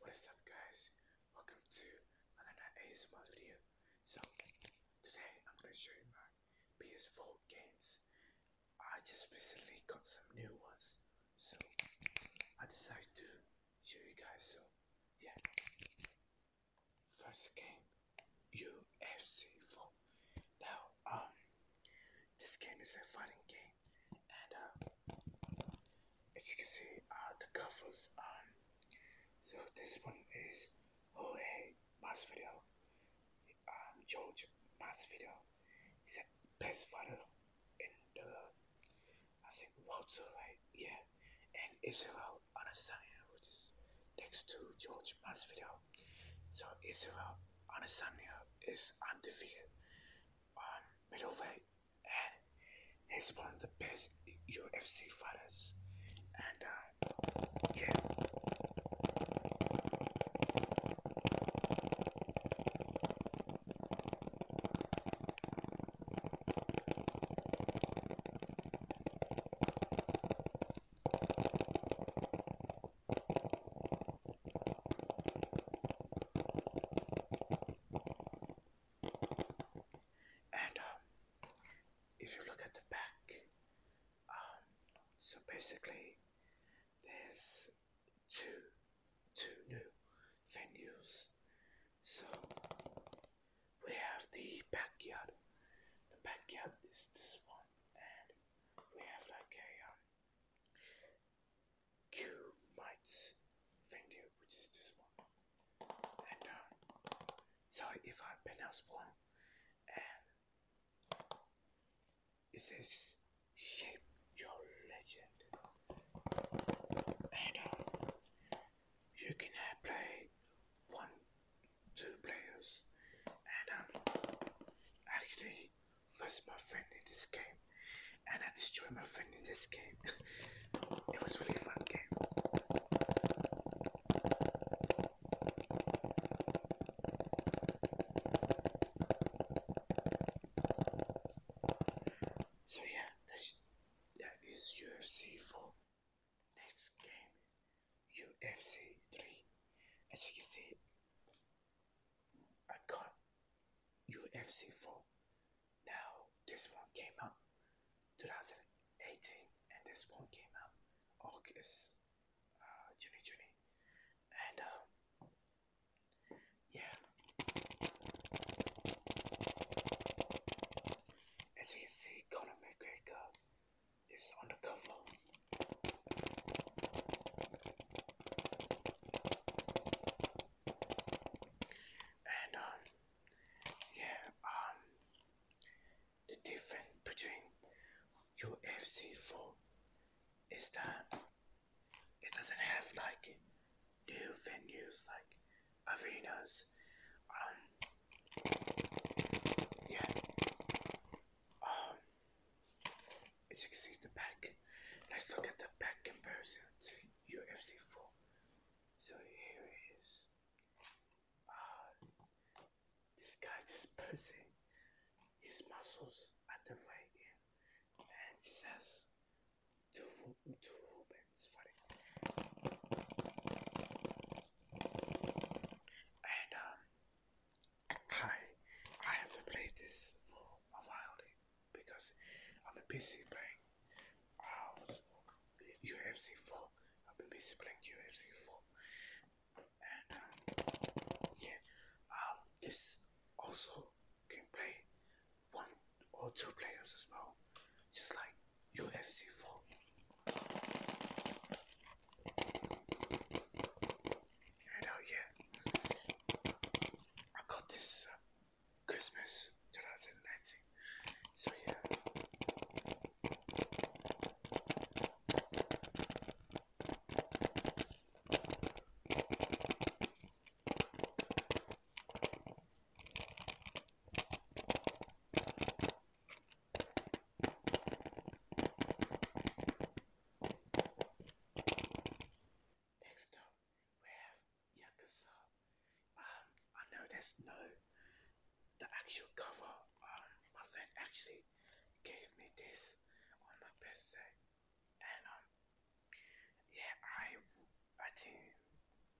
What is up guys? Welcome to another ASMR video. So today I'm gonna show you my PS4 games. I just recently got some new ones, so I decided to show you guys so yeah. First game UFC 4. Now um, this game is a fighting game and uh, as you can see, uh, the covers. on. Um, so this one is Jorge Masvidal, um, George Masvidal. He's the best fighter in the, I think, Walter, right? Yeah. And Israel Anasania, which is next to George Masvidal. So Israel Anasania is undefeated. Um, middleweight, and he's one of the best UFC fighters. And uh, and um, if you look at the back, um, so basically there's two two new venues. So we have the backyard. The backyard is this one, and we have like a um, Q might offend you, which is this one. And uh, if I pronounce wrong. And it says shape your legend. And um, you can play one, two players. And um, actually, Lost my friend in this game, and I destroyed my friend in this game. it was really fun game. So yeah, that's, your c 4. Next game, UFC 3. As you can see, I got UFC 4. Now, this one came out 2018, and this one came out August, uh, 2020. And, um, yeah. As you can see, Conor McGregor is on the cover. And um, yeah, um, the difference between UFC four is that it doesn't have like new venues like arenas. Um, yeah. Um, as you can see the back, let's look the back comparison to UFC 4. So here it is. Uh, this guy dispersing his muscles at the right end, and he says, two, two Rubens fighting. And um, I, I have played this for a while because I'm a PC playing UFC 4. I've been busy playing UFC 4. And um, yeah, um, this also can play one or two players as well, just like UFC 4. And oh yeah, I got this uh, Christmas 2019. So yeah. Next up with Yakuza. Um, I know there's no the actual cover. Um, my friend actually gave me this on my birthday, and um, yeah, I I think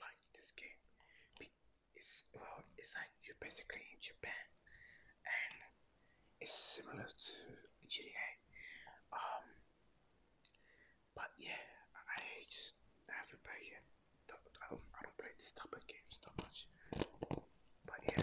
like this game. It's well, it's like you're basically in Japan, and it's similar to GTA. Um, but yeah, I just haven't played I don't, I don't play this type of games that much. But yeah.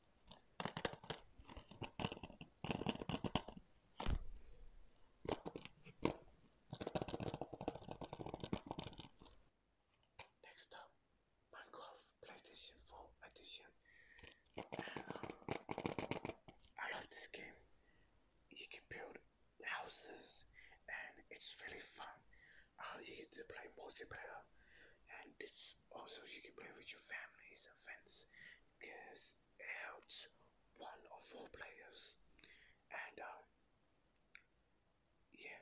Next up, Minecraft PlayStation 4 edition. Uh, I love this game. You can build houses and it's really fun. Uh, you get to play multiplayer and it's also you can play with your families and friends because helps one or four players. And um, yeah,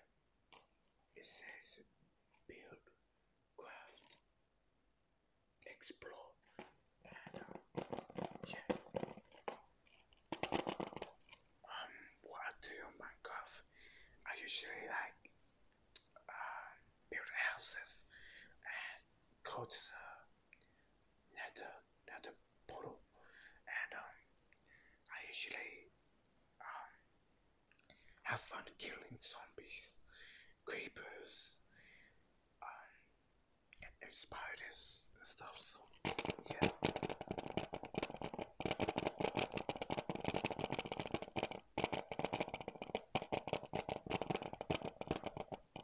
it says build, craft, explore, and Um, um what I do on Minecraft, I usually like uh, build houses and go the uh, nether uh, nether uh, portal, and um, I usually um, have fun killing zombies, creepers, um, and, spiders stuff. So yeah.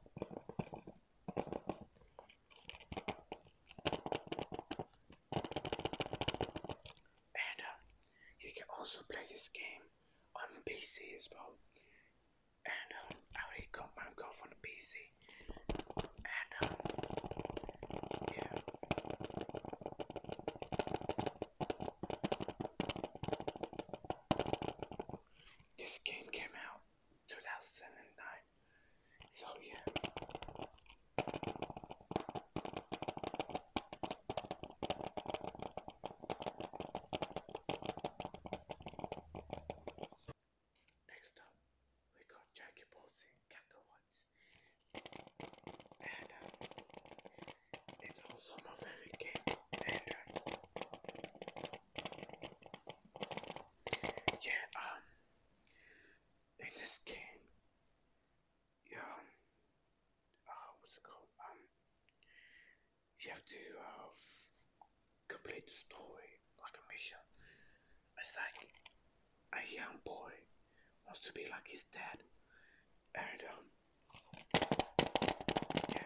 And uh, you can also play this game on the PC as well. And um, I already got Minecraft on the PC. And um, this game came out 2009. So yeah. Next up, we got Jackie Posey Cacahuates. And uh, it's also my favorite game. Uh, yeah, um, in this game, yeah, um, uh, what's it called? Um, you have to uh, complete the story like a mission. It's like a young boy wants to be like his dad, and um, yeah,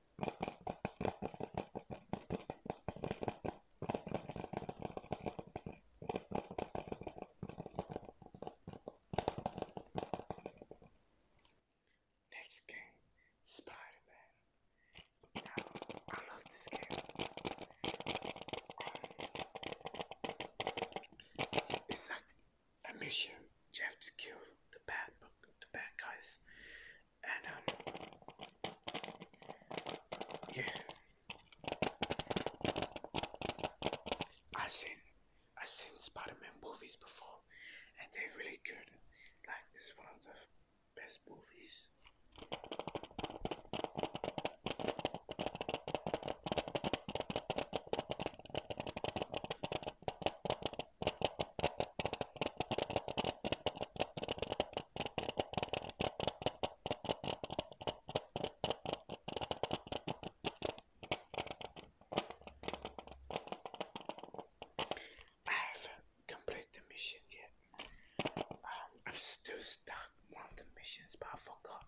Next game, Spider Man. Now, I love this game. Um, it's like a mission. You have to kill the bad, the bad guys, um, yeah, I've seen i seen Spider-Man movies before, and they're really good. Like it's one of the best movies. I haven't completed the yet. Um, I'm still stuck on the missions, but I forgot.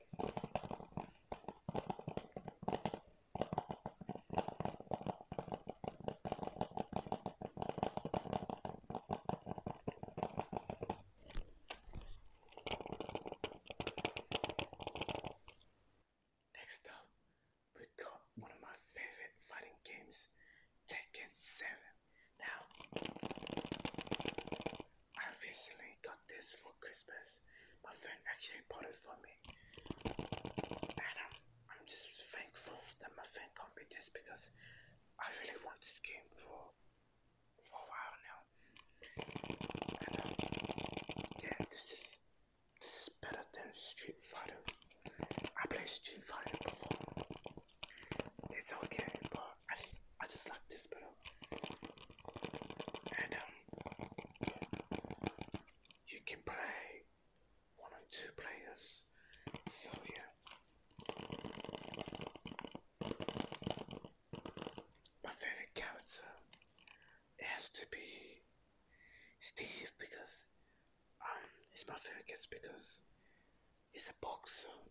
Next up, we got one of my favorite fighting games, Tekken 7. Now, I recently got this for Christmas. My friend actually bought it for me. And I'm, just thankful that my friend got me this because I really want this game for, for a while now. And, um, yeah, this is, this is better than Street Fighter. I played Street Fighter before. It's okay, but I just, I just like this better. And um, you can play one or two players. So yeah. My favorite character has to be Steve because um, he's my favorite guest because he's a boxer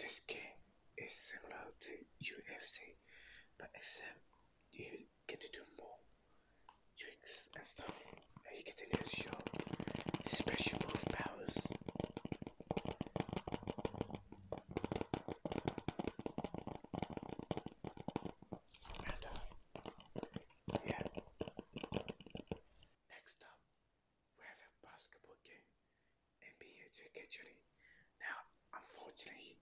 this game is similar to UFC, but except you get to do more tricks and stuff. And he continues to show special move powers. And uh, yeah. Next up, we have a basketball game, NBA 2 Now, unfortunately,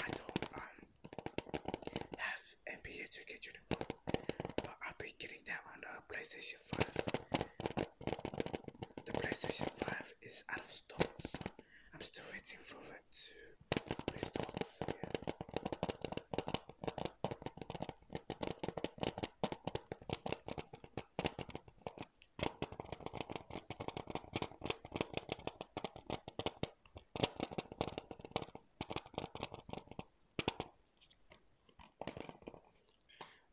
I don't um, have NBA 2 but I'll be getting them on the uh, PlayStation 5. The PlayStation 5 is out of stock, I'm still waiting for it to restock.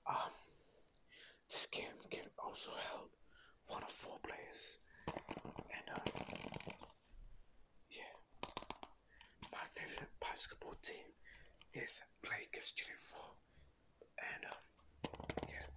Um, this game can also help one of four players, and uh, yeah, my favorite basketball team is Lakers Chile Four, and um, yeah.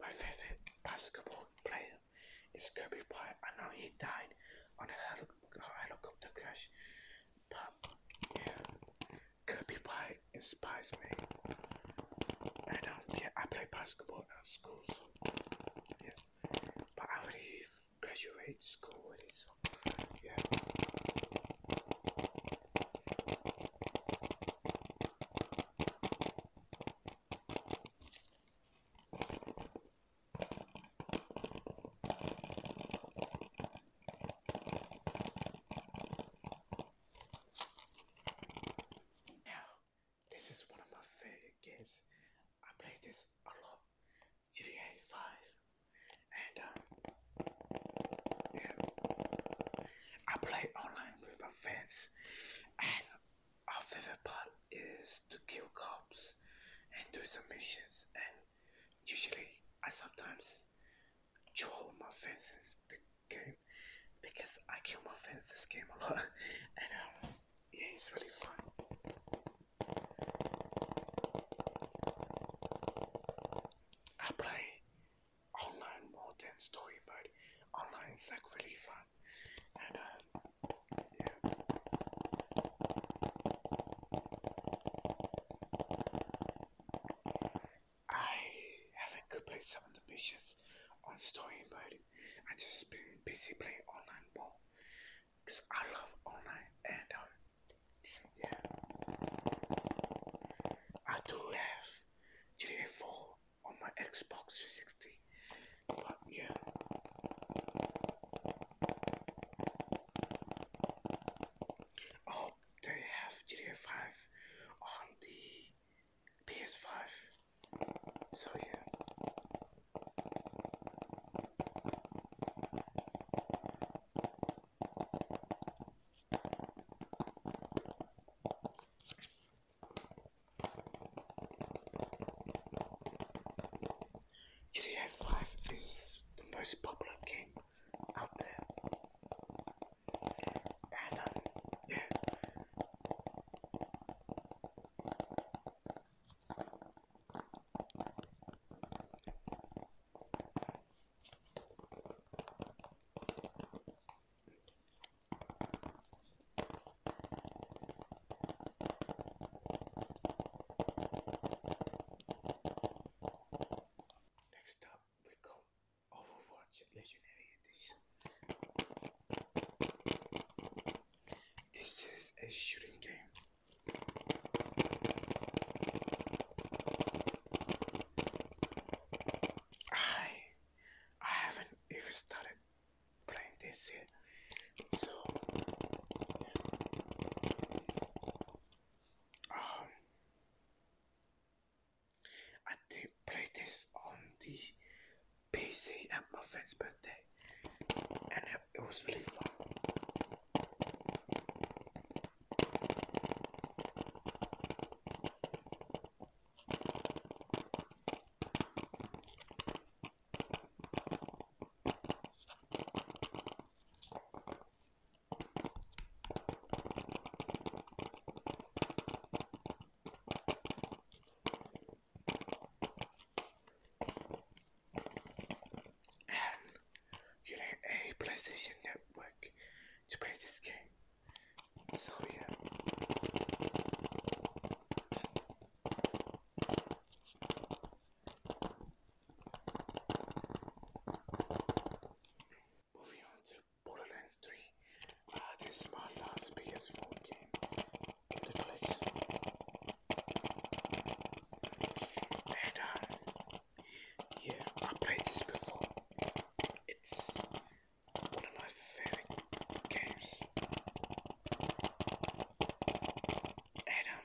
My favorite basketball player it's Kobe Bryant. I know he died on a helicopter crash, but yeah, Kobe Bryant inspires me. And um, yeah, I play basketball at school, so yeah. But I already graduated school already, so yeah. Now, this is one of my favorite games. I play this a lot. GTA 5. And, uh, yeah. I play online with my friends our favorite part is to kill cops and do some missions. And usually, I sometimes troll my friends the game because I kill my friends game a lot. and um, yeah, it's really fun. I play online more than story mode. Online is like really fun. And um, I haven't completed some of the missions on story mode. I just been busy playing online more because I love online and um, yeah, I do have GTA 4 on my Xbox 360. But yeah. Oh, they have GTA 5 on the PS5. So yeah. GTA 5 is the most popular game out there. Um, yeah. Next up, we got Overwatch Legendary Edition. This is a shooting game. I I haven't even started playing this So, um, I did play this on the PC at my friend's birthday, and it, it was really fun. And you need a PlayStation Network to play this game. So yeah. Moving on to Borderlands 3. Ah, this is my last PS4 game in the place. And uh, yeah, I played this before. It's one of my favorite games. And um,